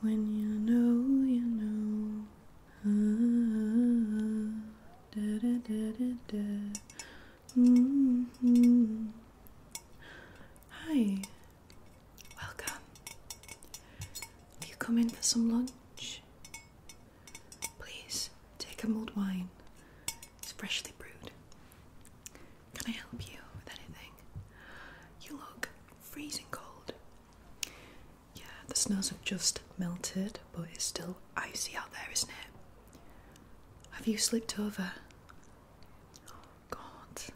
When you know, you know. Ah, mm-hmm. Hi, welcome. you come in for some lunch, please take a mulled wine. It's freshly brewed. Can I help you with anything? You look freezing cold. Yeah, the snows have just melted, but it's still icy out there, isn't it? Have you slipped over? Oh, God. I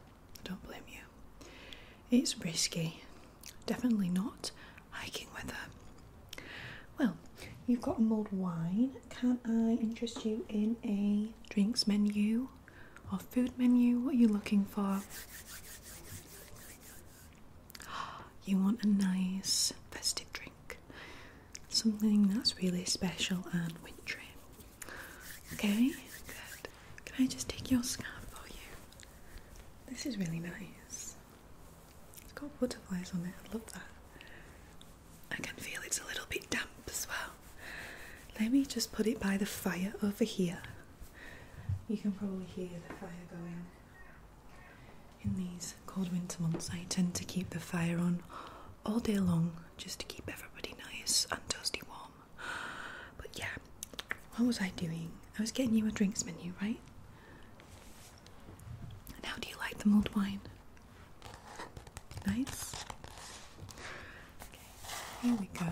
don't blame you. It's risky. Definitely not hiking with her. Well, You've got a mulled wine. Can I interest you in a drinks menu or food menu? What are you looking for? You want a nice festive drink, something that's really special and wintry. Okay, good. Can I just take your scarf for you? This is really nice. It's got butterflies on it. I love that. I can feel it's a little bit damp as well. Let me just put it by the fire over here. You can probably hear the fire going. In these cold winter months, I tend to keep the fire on all day long just to keep everybody nice and toasty warm. But yeah, what was I doing? I was getting you a drinks menu, right? how do you like the mulled wine? Nice. Okay, here we go.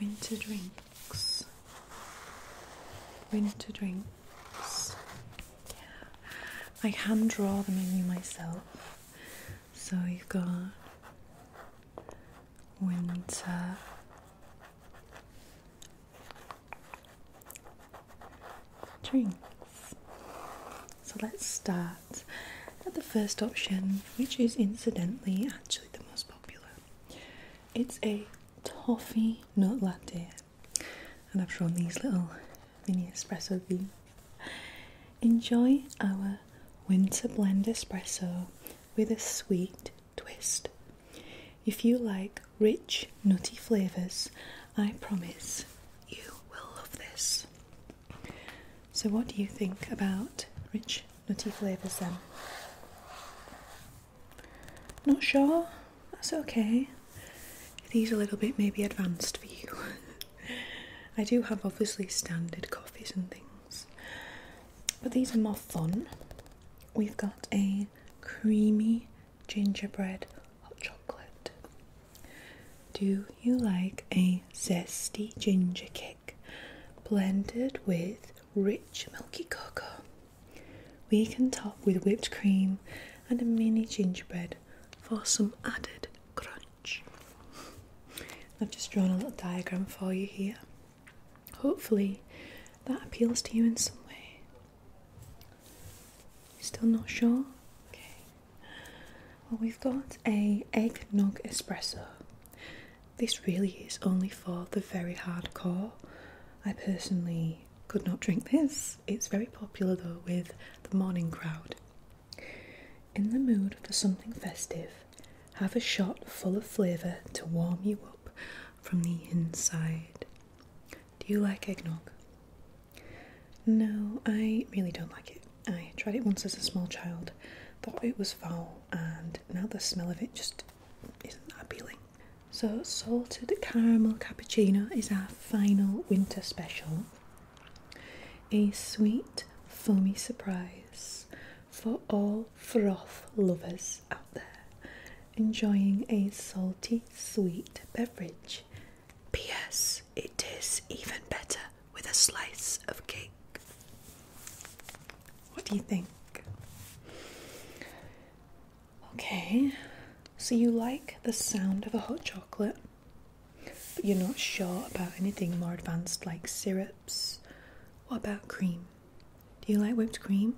Winter drinks. Winter drinks. Yeah. I hand draw the menu myself. So you've got winter drinks. So let's start at the first option, which is incidentally actually the most popular. It's a toffee nut latte, and I've drawn these little mini espresso beans. Enjoy our winter blend espresso with a sweet twist. If you like rich, nutty flavours, I promise you will love this. So, what do you think about rich nutty flavours then? Not sure? That's okay. These are a little bit maybe advanced for you. I do have obviously standard coffees and things, but these are more fun. We've got a creamy gingerbread hot chocolate. Do you like a zesty ginger cake blended with rich milky cocoa? We can top with whipped cream and a mini gingerbread for some added crunch. I've just drawn a little diagram for you here. Hopefully, that appeals to you in some way. Still not sure? Okay. Well, we've got a eggnog espresso. This really is only for the very hardcore. I personally could not drink this. It's very popular though with the morning crowd. In the mood for something festive, have a shot full of flavour to warm you up from the inside. Do you like eggnog? No, I really don't like it. I tried it once as a small child, thought it was foul, and now the smell of it just isn't appealing. So, salted caramel cappuccino is our final winter special. A sweet, foamy surprise for all froth lovers out there enjoying a salty, sweet beverage P.S. It is even better with a slice of cake. What do you think? Okay, so you like the sound of a hot chocolate, but you're not sure about anything more advanced like syrups. What about cream? Do you like whipped cream?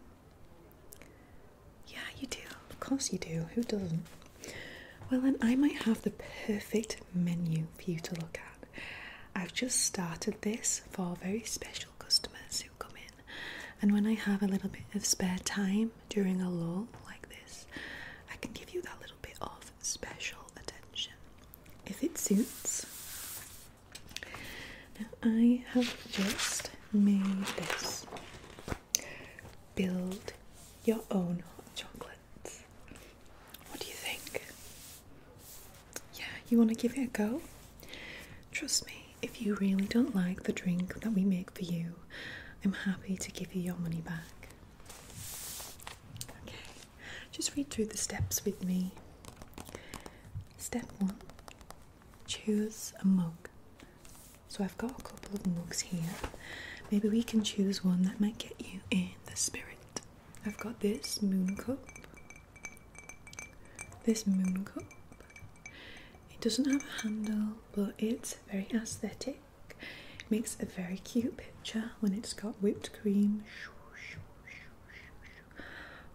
Yeah, you do. Of course you do. Who doesn't? Well, then I might have the perfect menu for you to look at. I've just started this for very special customers who come in, and when I have a little bit of spare time during a lull like this, I can give you that little bit of special attention if it suits. Now, I have just made this build your own hot chocolates. What do you think? Yeah, you want to give it a go? Trust me, if you really don't like the drink that we make for you, I'm happy to give you your money back. Okay, just read through the steps with me. Step one choose a mug. So I've got a couple of mugs here. Maybe we can choose one that might get you in the spirit. I've got this moon cup. This moon cup. It doesn't have a handle, but it's very aesthetic. makes a very cute picture when it's got whipped cream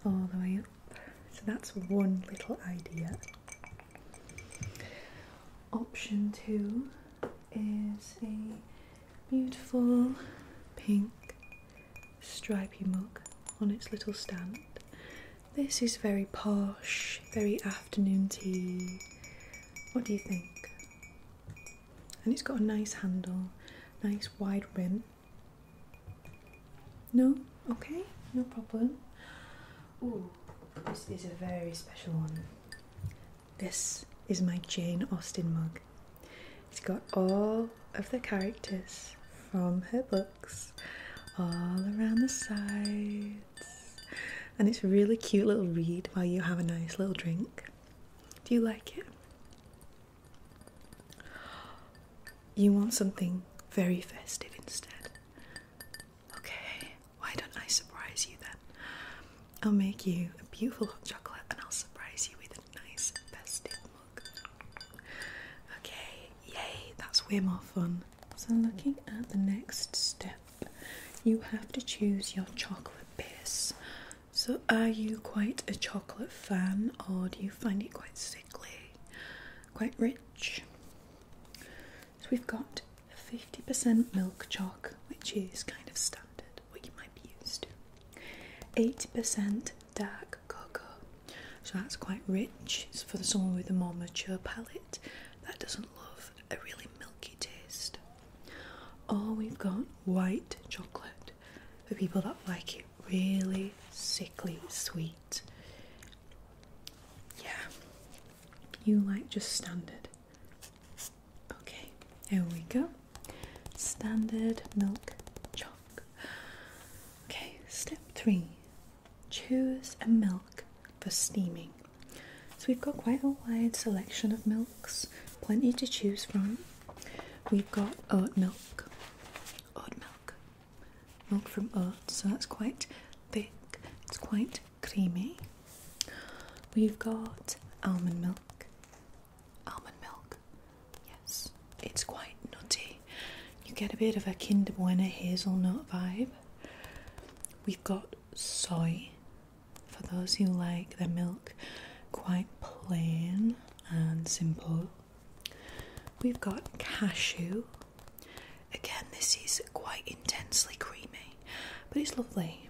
all the way up. So that's one little idea. Option two is a beautiful pink stripy mug on its little stand. This is very posh, very afternoon tea. What do you think? And it's got a nice handle, nice wide rim. No? Okay, no problem. Ooh, this is a very special one. This is my Jane Austen mug. It's got all of the characters from her books all around the sides, and it's really cute little read while you have a nice little drink. Do you like it? You want something very festive instead. Okay, why don't I surprise you then? I'll make you a beautiful hot chocolate and I'll surprise you with a nice festive mug. Okay, yay, that's way more fun. So, looking at the next step, you have to choose your chocolate base. So, are you quite a chocolate fan or do you find it quite sickly? Quite rich? So we've got 50% milk chalk, which is kind of standard, what you might be used to. Eight percent dark cocoa, so that's quite rich. for someone with a more mature palate that doesn't love a really milky taste. Or we've got white chocolate for people that like it really sickly sweet. Yeah, you like just standard. Okay, here we go. Standard milk chalk. Okay, step three choose a milk for steaming. So we've got quite a wide selection of milks, plenty to choose from. We've got oat milk, oat milk, milk from oats, so that's quite thick, it's quite creamy. We've got almond milk. Almond milk, yes, it's quite nutty. You get a bit of a Kinder Bueno hazelnut vibe. We've got soy for those who like their milk quite plain and simple. We've got cashew. Again, this is quite intensely creamy, but it's lovely.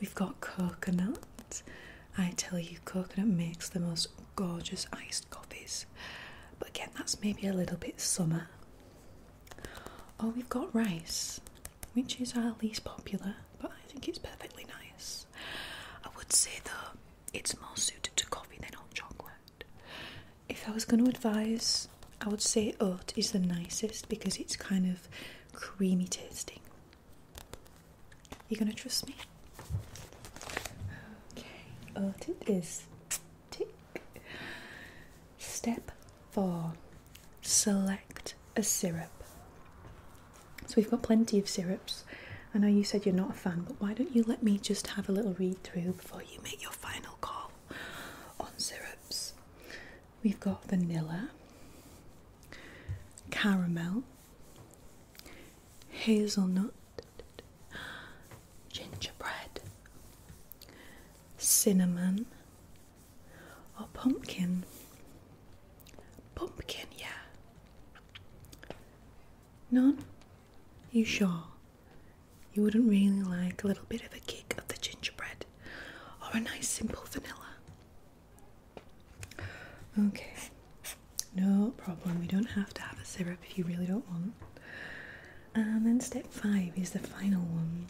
We've got coconut. I tell you, coconut makes the most gorgeous iced coffees. But again, that's maybe a little bit summer. Oh, we've got rice, which is our least popular, but I think it's perfectly nice. I would say though, it's more suited to coffee than hot chocolate. If I was going to advise I would say oat is the nicest because it's kind of creamy tasting. You gonna trust me? Okay, oat it is. Tick. Step four select a syrup. So we've got plenty of syrups. I know you said you're not a fan, but why don't you let me just have a little read through before you make your final call on syrups? We've got vanilla, caramel, hazelnut, gingerbread, cinnamon, or pumpkin. Pumpkin, yeah. None? You sure? You wouldn't really like a little bit of a kick of the gingerbread or a nice simple vanilla. Okay, no problem. We don't have to have a syrup if you really don't want. And um, then step five is the final one.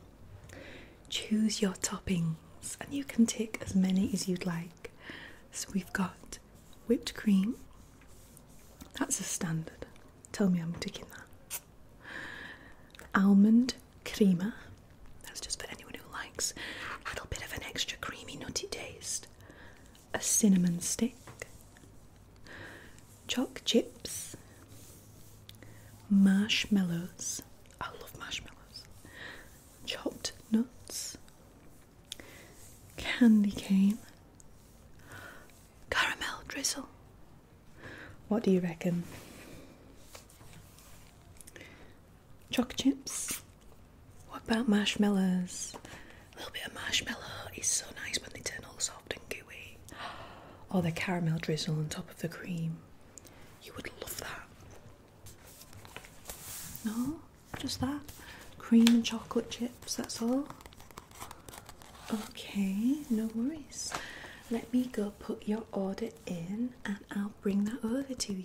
Choose your toppings, and you can take as many as you'd like. So we've got whipped cream, that's a standard. Tell me I'm ticking that almond creamer. That's just for anyone who likes a little bit of an extra creamy, nutty taste. A cinnamon stick, choc chips, marshmallows. I love marshmallows. Chopped nuts, candy cane, caramel drizzle. What do you reckon? Chocolate chips? What about marshmallows? A little bit of marshmallow is so nice when they turn all soft and gooey. Or the caramel drizzle on top of the cream. You would love that. No? Just that? Cream and chocolate chips, that's all? Okay, no worries. Let me go put your order in and I'll bring that over to you.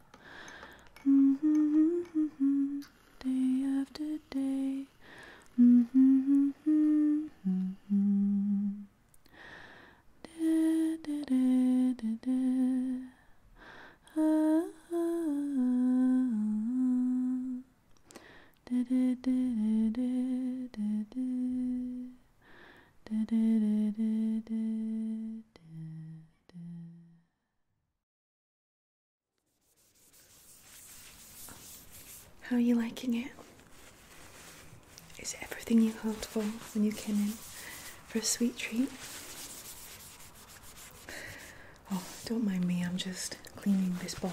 Mm -hmm, mm -hmm, -hmm. Day after day. Mm -hmm, -hmm, -hmm. Da, da, da, da, da. Ah, da, da, da, da, da, da, da, da, da, da, da, da. How are you liking it? Is everything you hoped for when you came in for a sweet treat? Oh, don't mind me, I'm just cleaning this board,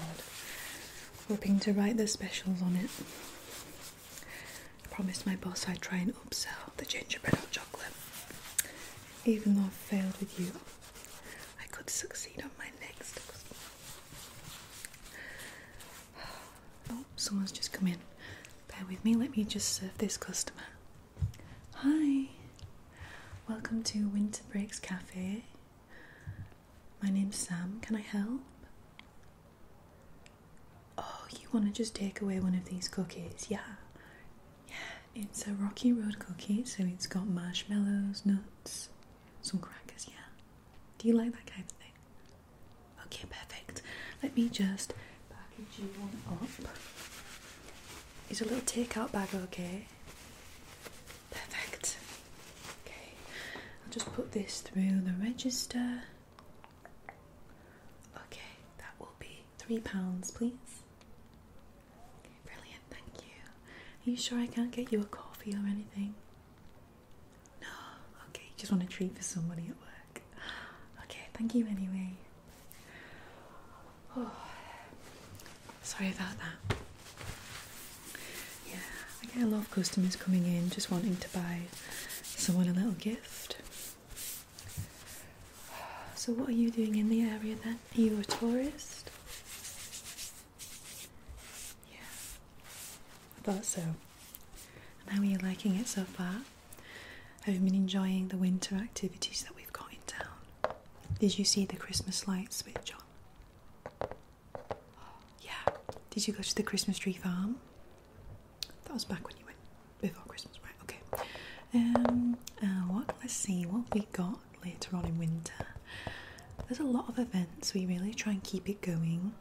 hoping to write the specials on it. I promised my boss I'd try and upsell the gingerbread hot chocolate even though I failed with you, I could succeed on my next. Oh, someone's just come in. Bear with me, let me just serve this customer. Hi, welcome to Winter Breaks Cafe. My name's Sam, can I help? Oh, you want to just take away one of these cookies? Yeah, it's a rocky road cookie, so it's got marshmallows, nuts, some crackers, yeah. Do you like that kind of thing? Okay, perfect. Let me just package you one up. It's a little takeout bag, okay? Perfect. Okay, I'll just put this through the register. Okay, that will be three pounds, please. Brilliant, thank you. Are you sure I can't get you a coffee or anything? No, okay, just want a treat for somebody at work. Okay, thank you anyway. Oh, sorry about that. Yeah, I get a lot of customers coming in just wanting to buy someone a little gift. So, what are you doing in the area then? Are you a tourist? Yeah, I thought so. And how are you liking it so far? i Have been enjoying the winter activities that we've got in town? Did you see the Christmas lights switch on? Yeah. Did you go to the Christmas tree farm? That was back when you went before Christmas, right? Okay. Um, uh, what? Let's see what we got later on in winter. There's a lot of events. We really try and keep it going.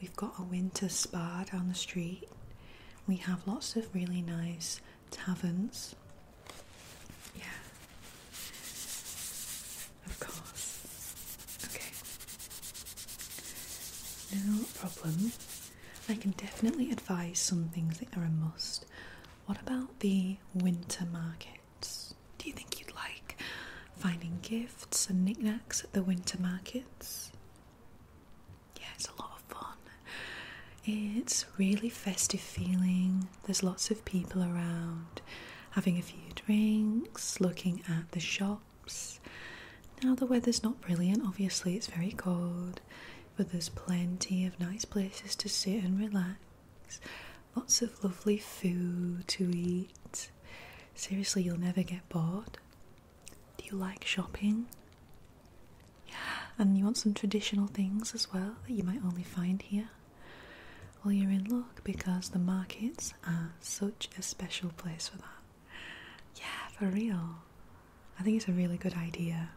We've got a winter spa down the street. We have lots of really nice taverns. Yeah. Of course. Okay. No problem. I can definitely advise some things that are a must. What about the winter markets? Do you think you'd like finding gifts and knickknacks at the winter markets? Yeah, it's a lot of fun. It's really festive feeling. There's lots of people around having a few drinks, looking at the shops. Now the weather's not brilliant, obviously, it's very cold. But there's plenty of nice places to sit and relax, lots of lovely food to eat. Seriously, you'll never get bored. Do you like shopping? And you want some traditional things as well that you might only find here? Well, you're in luck because the markets are such a special place for that. Yeah, for real. I think it's a really good idea.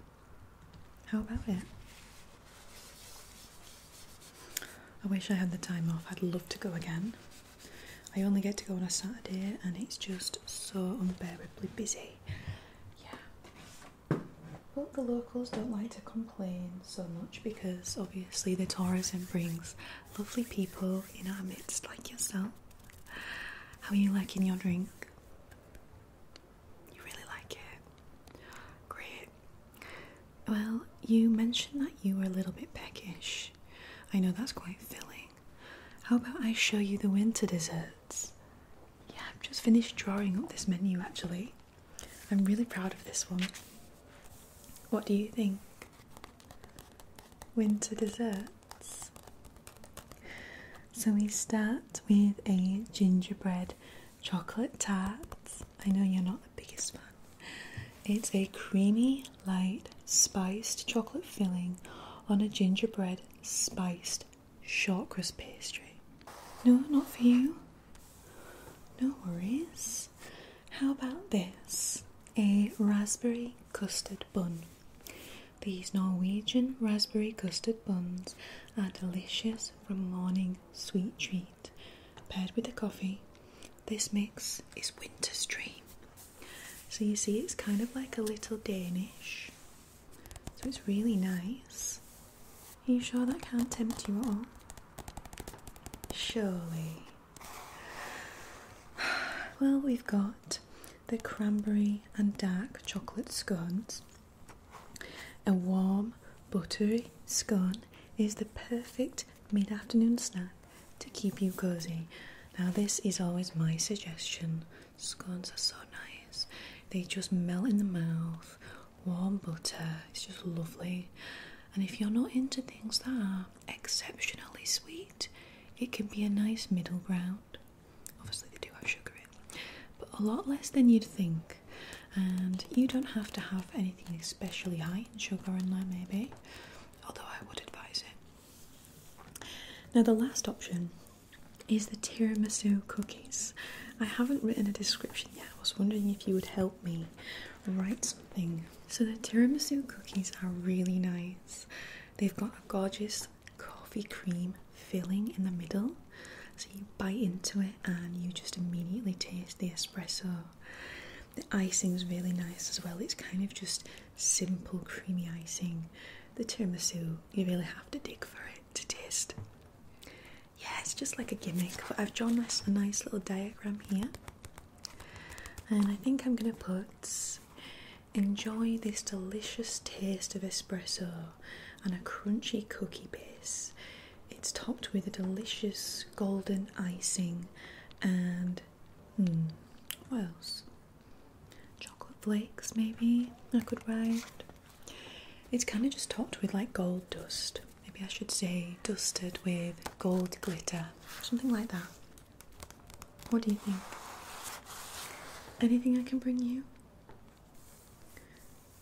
How about it? I wish I had the time off. I'd love to go again. I only get to go on a Saturday and it's just so unbearably busy. Yeah. But the locals don't like to complain so much because obviously the tourism brings lovely people in our midst like yourself. How are you liking your drink? You really like it? Great. Well, you mentioned that you were a little bit peckish. I know that's quite filling. How about I show you the winter desserts? Yeah, I've just finished drawing up this menu actually. I'm really proud of this one. What do you think? Winter desserts. So we start with a gingerbread chocolate tart. I know you're not the biggest fan. It's a creamy, light, spiced chocolate filling on a gingerbread spiced shortcrust pastry. No, not for you. No worries. How about this? A raspberry custard bun. These Norwegian raspberry custard buns are delicious for morning sweet treat. Paired with the coffee, this mix is winter's dream. So you see it's kind of like a little Danish. So it's really nice. Are you sure that can't tempt you at all? Surely. Well, we've got the cranberry and dark chocolate scones. A warm, buttery scone is the perfect mid afternoon snack to keep you cozy. Now, this is always my suggestion. Scones are so nice, they just melt in the mouth. Warm butter, it's just lovely. And if you're not into things that are exceptionally sweet, it can be a nice middle ground. Obviously, they do have sugar in, but a lot less than you'd think. And you don't have to have anything especially high in sugar in there, maybe, although I would advise it. Now, the last option is the tiramisu cookies. I haven't written a description yet. I was wondering if you would help me write something. So, the tiramisu cookies are really nice. They've got a gorgeous coffee cream filling in the middle. So you bite into it and you just immediately taste the espresso. The icing's really nice as well. It's kind of just simple creamy icing. The tiramisu, you really have to dig for it to taste. Yeah, it's just like a gimmick, but I've drawn this a nice little diagram here. And I think I'm going to put enjoy this delicious taste of espresso and a crunchy cookie base. It's topped with a delicious golden icing and hmm, what else? Chocolate flakes, maybe I could write. It's kind of just topped with like gold dust. Maybe I should say dusted with gold glitter, something like that. What do you think? Anything I can bring you?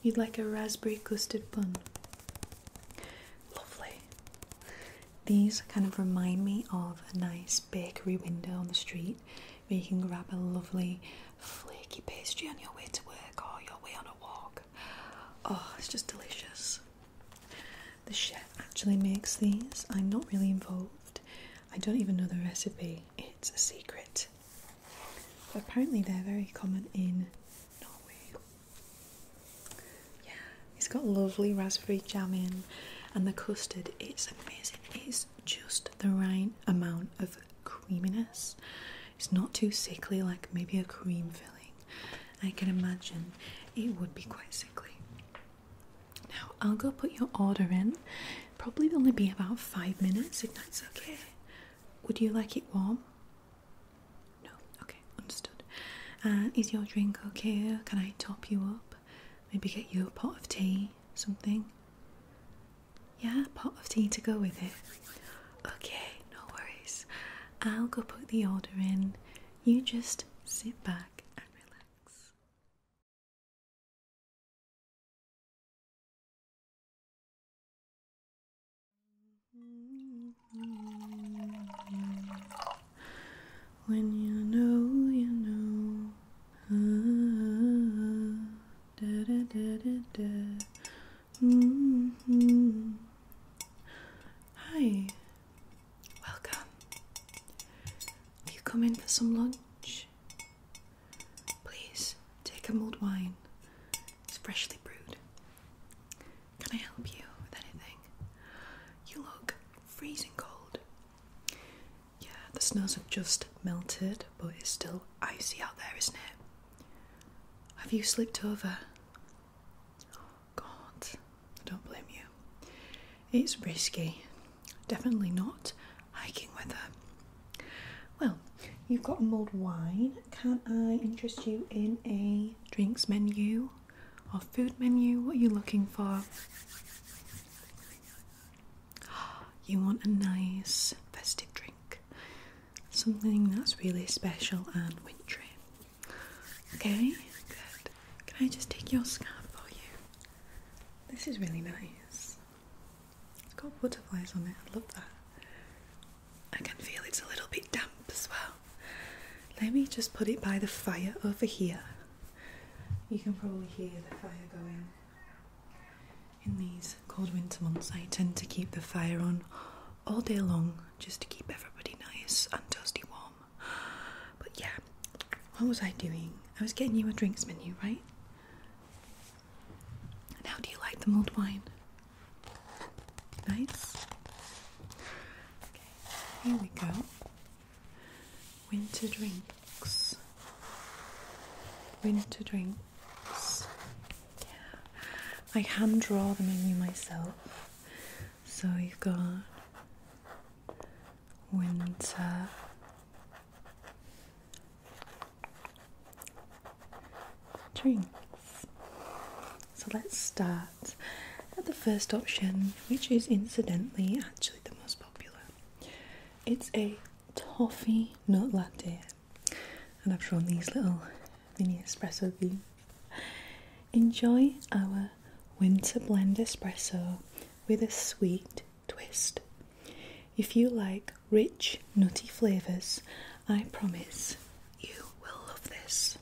You'd like a raspberry custard bun. Lovely. These kind of remind me of a nice bakery window on the street where you can grab a lovely flaky pastry on your way to work or your way on a walk. Oh, it's just delicious. The chef actually makes these. I'm not really involved. I don't even know the recipe. It's a secret apparently they're very common in Norway. Yeah, it's got lovely raspberry jam in and the custard is amazing. It's just the right amount of creaminess. It's not too sickly like maybe a cream filling. I can imagine it would be quite sickly. Now I'll go put your order in. Probably only be about five minutes if that's okay. Would you like it warm? No. Okay, understood. Uh, is your drink okay? Can I top you up? Maybe get you a pot of tea, something? Yeah, pot of tea to go with it. Okay, no worries. I'll go put the order in. You just sit back and relax. When you know, you know. Hi, welcome. Have you come in for some lunch? Please take a mulled wine. It's freshly brewed. Can I help you with anything? You look freezing cold. Yeah, the snows have just melted, but it's still icy out there, isn't it? Have you slipped over? Oh, God, I don't blame you. It's risky. Definitely not hiking with weather. Well, you've got a mulled wine. Can not I interest you in a drinks menu or food menu? What are you looking for? You want a nice festive drink, something that's really special and wintry. Okay, good. Can I just take your scarf for you? This is really nice. It's got butterflies on it, I love that. I can feel it's a little bit damp as well. Let me just put it by the fire over here. You can probably hear the fire going. In these cold winter months, I tend to keep the fire on all day long just to keep everybody nice and toasty warm. But yeah, what was I doing? I was getting you a drinks menu, right? how do you like the mulled wine? Nice. Okay, here we go. Winter drinks. Winter drinks. Yeah. I hand draw the menu myself. So you've got winter drinks. So let's start at the first option, which is incidentally actually the most popular. It's a toffee nut latte, and I've drawn these little mini espresso beans. Enjoy our winter blend espresso with a sweet twist. If you like rich, nutty flavours. I promise you will love this.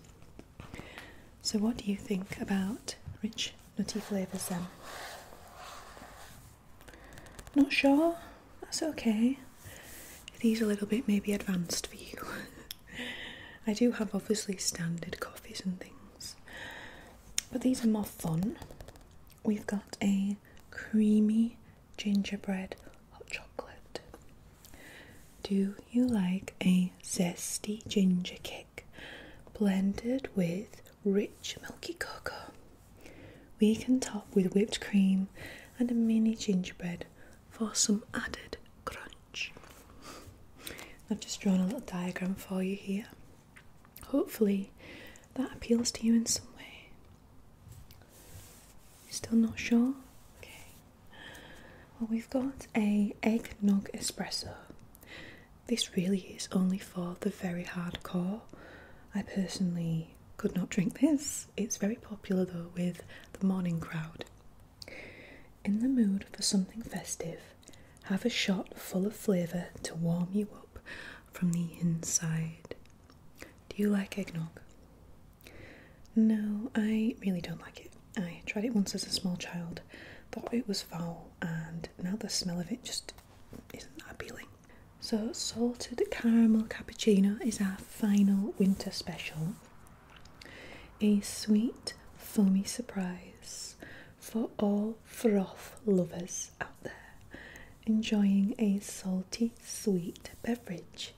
So, what do you think about rich, nutty flavours then? Not sure? That's okay. These are a little bit maybe advanced for you. I do have obviously standard coffees and things, but these are more fun. We've got a creamy gingerbread hot chocolate. Do you like a zesty ginger kick blended with rich milky cocoa? We can top with whipped cream and a mini gingerbread for some added crunch. I've just drawn a little diagram for you here. Hopefully, that appeals to you in some way. Still not sure? Okay. Well, we've got a eggnog espresso. This really is only for the very hardcore. I personally could not drink this. It's very popular though with the morning crowd. In the mood for something festive, have a shot full of flavour to warm you up from the inside. Do you like eggnog? No, I really don't like it. I tried it once as a small child, thought it was foul, and now the smell of it just isn't appealing. So, salted caramel cappuccino is our final winter special. A sweet, foamy surprise for all froth lovers out there enjoying a salty, sweet beverage.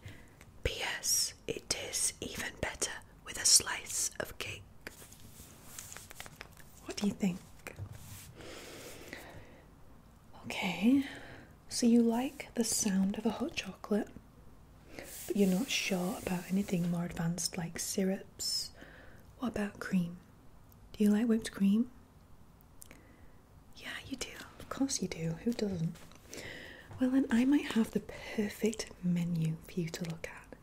P.S. It is even better with a slice of cake. What do you think? Okay, so you like the sound of a hot chocolate, but you're not sure about anything more advanced like syrups. What about cream? Do you like whipped cream? Yeah, you do. Of course you do. Who doesn't? Well, then I might have the perfect menu for you to look at.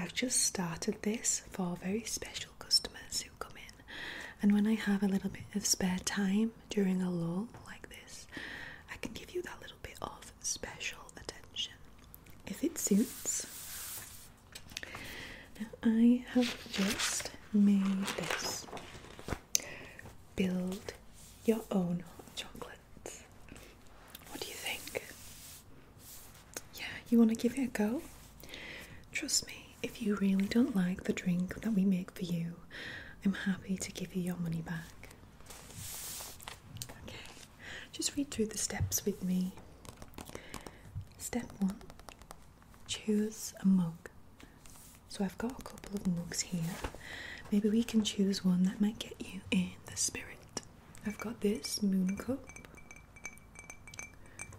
I've just started this for very special customers who come in, and when I have a little bit of spare time during a lull like this, I can give you that little bit of special attention if it suits. Now, I have just made this build your own hot chocolates. What do you think? Yeah, you want to give it a go? Trust me, if you really don't like the drink that we make for you, I'm happy to give you your money back. Okay, just read through the steps with me. Step one choose a mug. So I've got a couple of mugs here. Maybe we can choose one that might get you in the spirit. I've got this moon cup.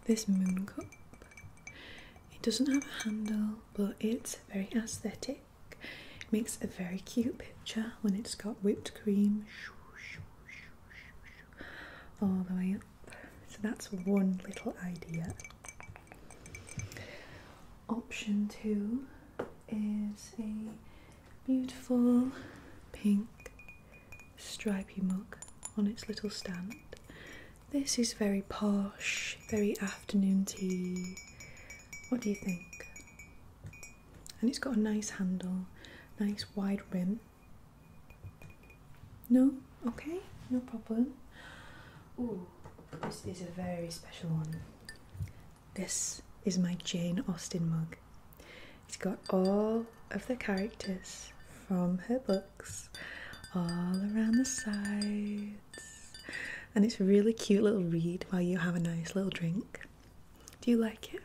This moon cup. It doesn't have a handle, but it's very aesthetic. It makes a very cute picture when it's got whipped cream all the way up. So that's one little idea. Option two is a beautiful pink stripey mug on its little stand. This is very posh, very afternoon tea. What do you think? And it's got a nice handle, nice wide rim. No? Okay, no problem. Ooh, this is a very special one. This is my Jane Austen mug. It's got all of the characters from her books all around the sides. And it's a really cute little read while you have a nice little drink. Do you like it?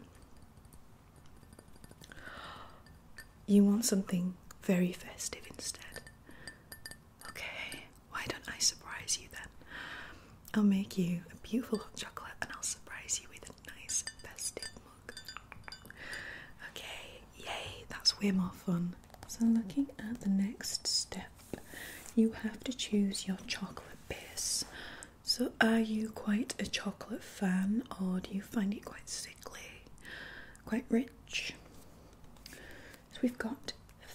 You want something very festive instead. Okay, why don't I surprise you then? I'll make you a beautiful hot chocolate and I'll surprise you with a nice festive look. Okay, yay, that's way more fun. So, looking at the next step, you have to choose your chocolate base. So, are you quite a chocolate fan or do you find it quite sickly? Quite rich? So we've got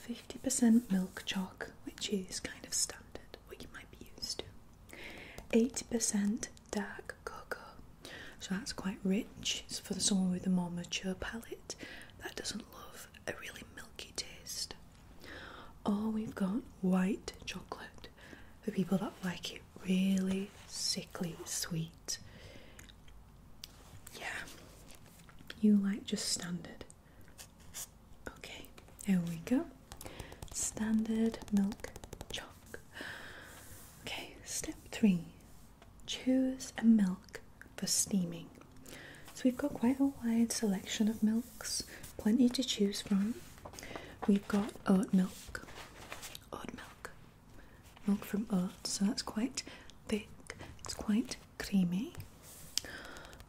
50% milk chalk, which is kind of standard, what you might be used to. Eight percent dark cocoa, so that's quite rich. for someone with a more mature palate that doesn't love a really milky taste. Oh, we've got white chocolate for people that like it really sickly sweet. Yeah, you like just standard. Okay, here we go. Standard milk chalk. Okay, step three choose a milk for steaming. So we've got quite a wide selection of milks, plenty to choose from. We've got oat milk, oat milk, milk from oats, so that's quite thick, it's quite creamy.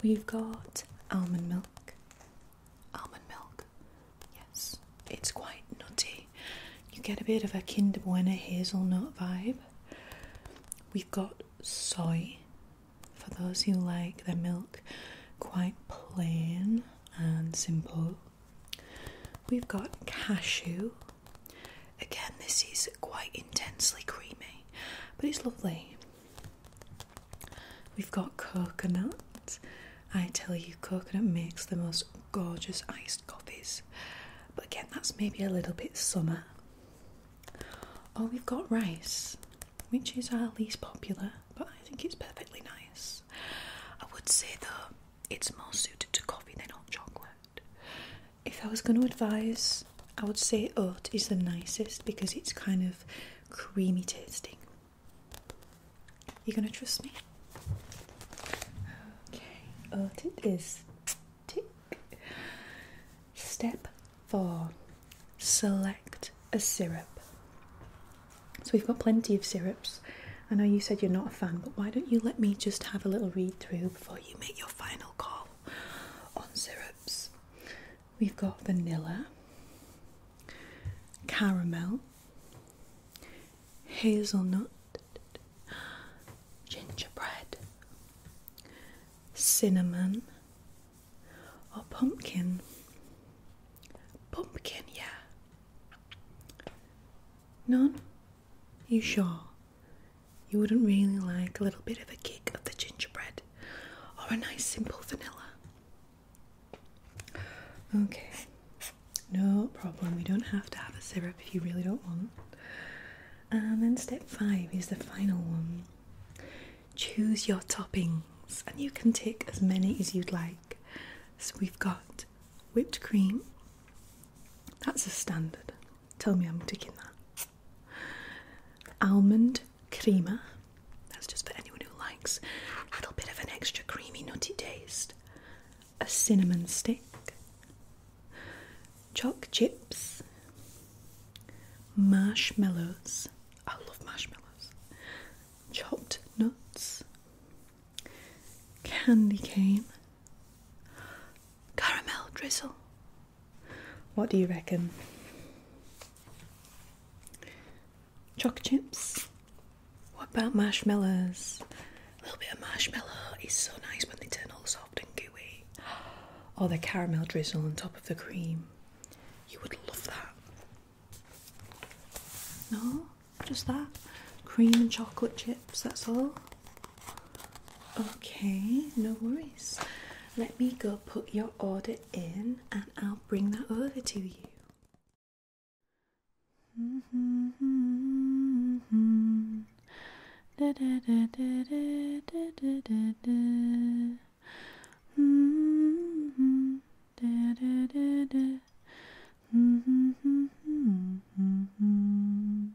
We've got almond milk. Almond milk, yes, it's quite nutty. You get a bit of a Kinder Bueno hazelnut vibe. We've got soy for those who like their milk quite plain and simple. We've got cashew, Again, this is quite intensely creamy, but it's lovely. We've got coconut. I tell you, coconut makes the most gorgeous iced coffees, but again, that's maybe a little bit summer. Oh, we've got rice, which is our least popular, but I think it's perfectly nice. I would say though, it's more suited to coffee than hot chocolate if I was going to advise, I would say oat is the nicest because it's kind of creamy tasting. You're going to trust me? Okay, oat it is. Tick. Step four select a syrup. So we've got plenty of syrups. I know you said you're not a fan, but why don't you let me just have a little read through before you make your final call? on syrups. We've got vanilla, caramel, hazelnut, gingerbread, cinnamon, or pumpkin. Pumpkin, yeah. None? You sure? You wouldn't really like a little bit of a kick of the gingerbread or a nice simple vanilla? Okay, no problem. We don't have to have a syrup if you really don't want. And um, then step five is the final one. Choose your toppings, and you can take as many as you'd like. So we've got whipped cream, that's a standard. Tell me I'm digging that. Almond creamer. That's just for anyone who likes a little bit of an extra creamy, nutty taste. A cinnamon stick. choc chips. Marshmallows. I love marshmallows. Chopped nuts. Candy cane. Caramel drizzle. What do you reckon? Chocolate chips? What about marshmallows? A little bit of marshmallow is so nice when they turn all soft and gooey. Or oh, the caramel drizzle on top of the cream. You would love that. No, just that. Cream and chocolate chips, that's all. Okay, no worries. Let me go put your order in and I'll bring that over to you.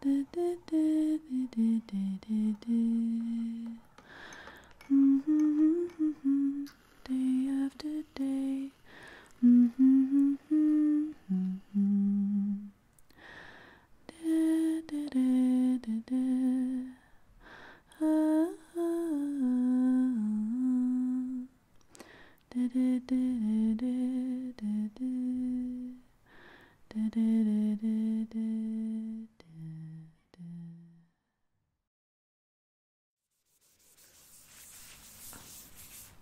Day after day.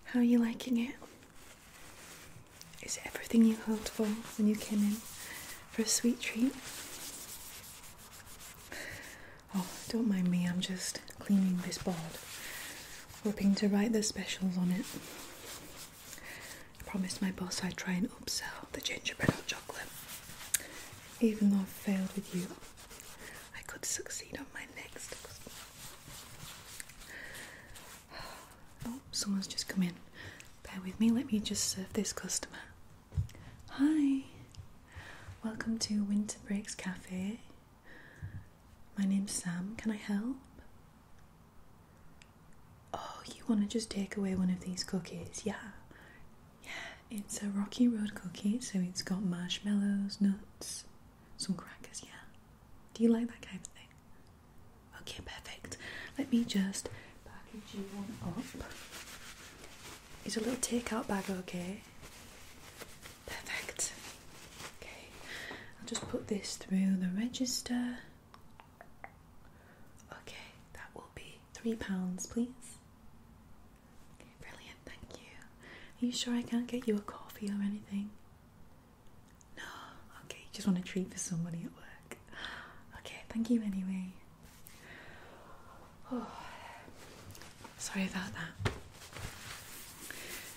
How are you liking it? Is everything you hoped for when you came in for a sweet treat? Oh, don't mind me, I'm just cleaning this board, hoping to write the specials on it. I promised my boss I'd try and upsell the gingerbread hot chocolate. Even though I failed with you, I could succeed on my next. Oh, someone's just come in. Bear with me, let me just serve this customer. Hi, welcome to Winter Breaks Cafe. My name's Sam, can I help? Oh, you want to just take away one of these cookies? Yeah. Yeah, it's a Rocky Road cookie, so it's got marshmallows, nuts, some crackers, yeah. Do you like that kind of thing? Okay, perfect. Let me just package you one up. It's a little takeout bag okay? Perfect. Okay, I'll just put this through the register. Okay, that will be three pounds, please. brilliant, thank you. Are you sure I can't get you a coffee or anything? No, okay, just want a treat for somebody at work. Okay, thank you anyway. Oh, sorry about that.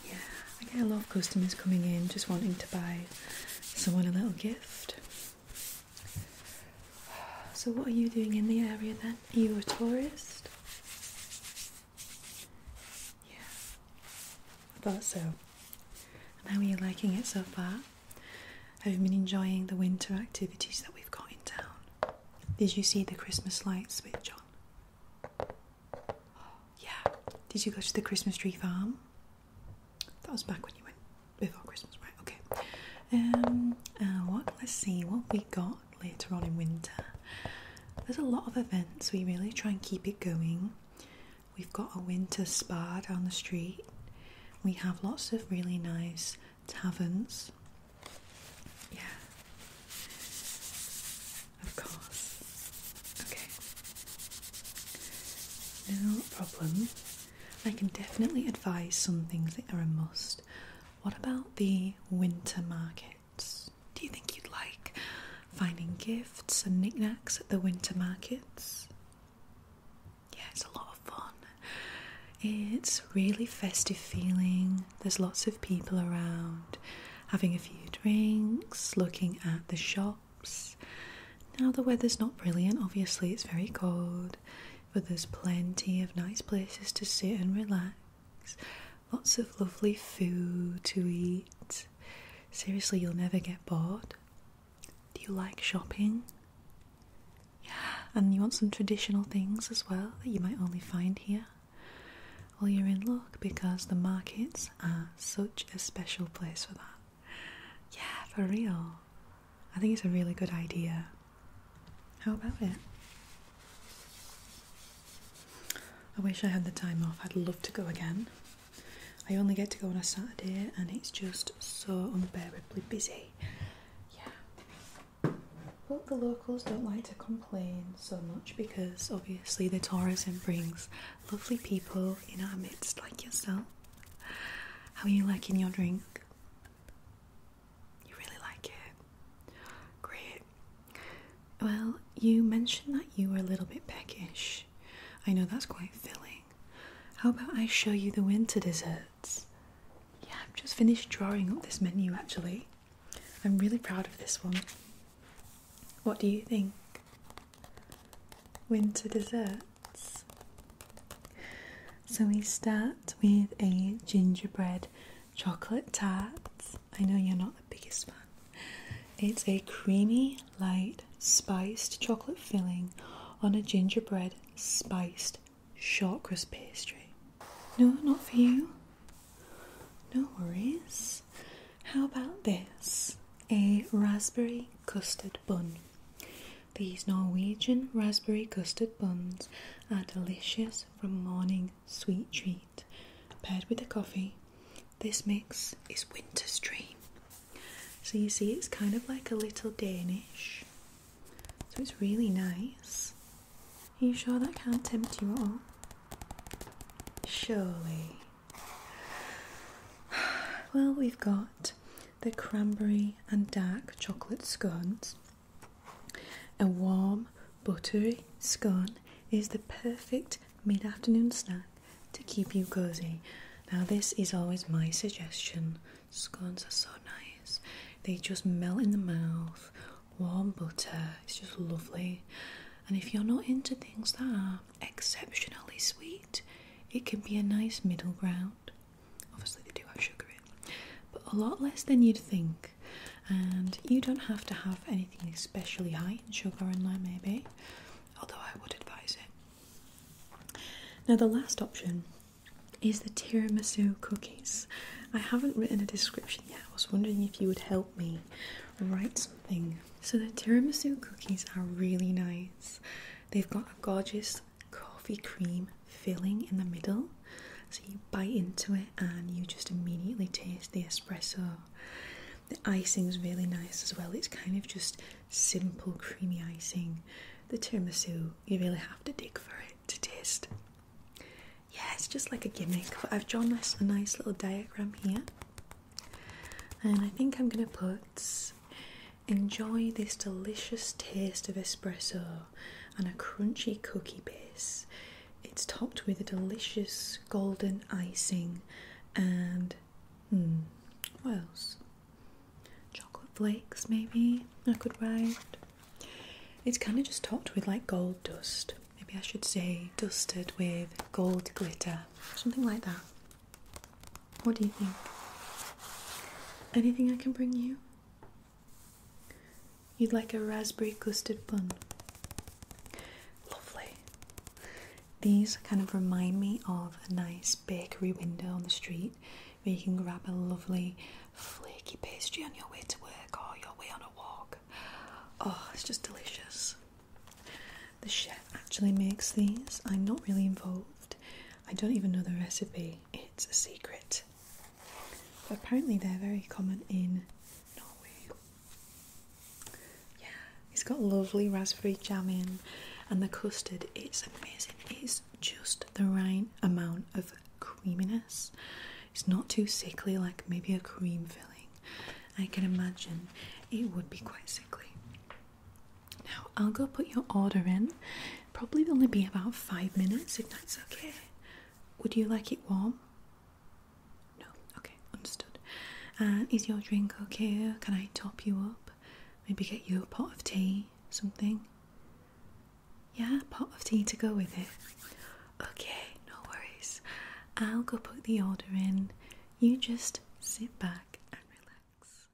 Yeah, I, lot of customers coming in just wanting to buy someone a little gift. So, what are you doing in the area then? Are you a tourist? Yeah, I thought so. how are you liking it so far? Have you been enjoying the winter activities that we've got in town? Did you see the Christmas lights switch on? Yeah. Did you go to the Christmas tree farm? That was back when you went before Christmas, right? Okay. Um, uh, what? Let's see what we got later on in winter. There's a lot of events. We really try and keep it going. We've got a winter spa down the street. We have lots of really nice taverns. Yeah. Of course. Okay. No problem. I can definitely advise some things that are a must. What about the winter markets? Do you think you'd like finding gifts and knickknacks at the winter markets? Yeah, it's a lot of fun. It's really festive feeling. There's lots of people around having a few drinks, looking at the shop now, the weather's not brilliant, obviously, it's very cold, but there's plenty of nice places to sit and relax, lots of lovely food to eat. Seriously, you'll never get bored. Do you like shopping? And you want some traditional things as well that you might only find here? Well, you're in luck because the markets are such a special place for that. Yeah, for real. I think it's a really good idea. How about it? I wish I had the time off. I'd love to go again. I only get to go on a Saturday and it's just so unbearably busy. Yeah. But the locals don't like to complain so much because obviously the tourism brings lovely people in our midst like yourself. How are you liking your drink? You really like it? Great. Well, you mentioned that you were a little bit peckish. I know that's quite filling. How about I show you the winter desserts? Yeah, I've just finished drawing up this menu actually. I'm really proud of this one. What do you think? winter desserts. So we start with a gingerbread chocolate tart. I know you're not the biggest fan. It's a creamy, light, spiced chocolate filling on a gingerbread spiced shortcrust pastry. No, not for you. No worries. How about this? A raspberry custard bun these Norwegian raspberry custard buns are delicious for morning sweet treat. Paired with the coffee, this mix is winter's dream. So you see it's kind of like a little Danish. So it's really nice. Are you sure that can't tempt you at all? Surely. Well, we've got the cranberry and dark chocolate scones. A warm, buttery scone is the perfect mid afternoon snack to keep you cozy. Now, this is always my suggestion. Scones are so nice, they just melt in the mouth. Warm butter, it's just lovely. And if you're not into things that are exceptionally sweet, it can be a nice middle ground. Obviously, they do have sugar in, but a lot less than you'd think. And you don't have to have anything especially high in sugar in there, maybe, although I would advise it. Now, the last option is the tiramisu cookies. I haven't written a description yet. I was wondering if you would help me write something. So, the tiramisu cookies are really nice. They've got a gorgeous coffee cream filling in the middle. So you bite into it and you just immediately taste the espresso. The icing is really nice as well. It's kind of just simple creamy icing. The tiramisu, you really have to dig for it to taste. Yeah, it's just like a gimmick, but I've drawn a nice little diagram here. And I think I'm going to put Enjoy this delicious taste of espresso and a crunchy cookie base. It's topped with a delicious golden icing and hmm, what else? Chocolate flakes, maybe I could write. It's kind of just topped with like gold dust. Maybe I should say dusted with gold glitter, something like that. What do you think? Anything I can bring you? You'd like a raspberry custard bun. Lovely. These kind of remind me of a nice bakery window on the street where you can grab a lovely flaky pastry on your way to work or your way on a walk. Oh, it's just delicious. The chef actually makes these. I'm not really involved. I don't even know the recipe, it's a secret. apparently, they're very common in Norway. Yeah, it's got lovely raspberry jam in, and the custard it's amazing. It's just the right amount of creaminess. It's not too sickly, like maybe a cream filling. I can imagine it would be quite sickly. Now I'll go put your order in. Probably only be about five minutes if that's okay. Would you like it warm? No. Okay, understood. And uh, is your drink okay? Can I top you up? Maybe get you a pot of tea, something. Yeah, pot of tea to go with it. Okay, no worries. I'll go put the order in. You just sit back and relax.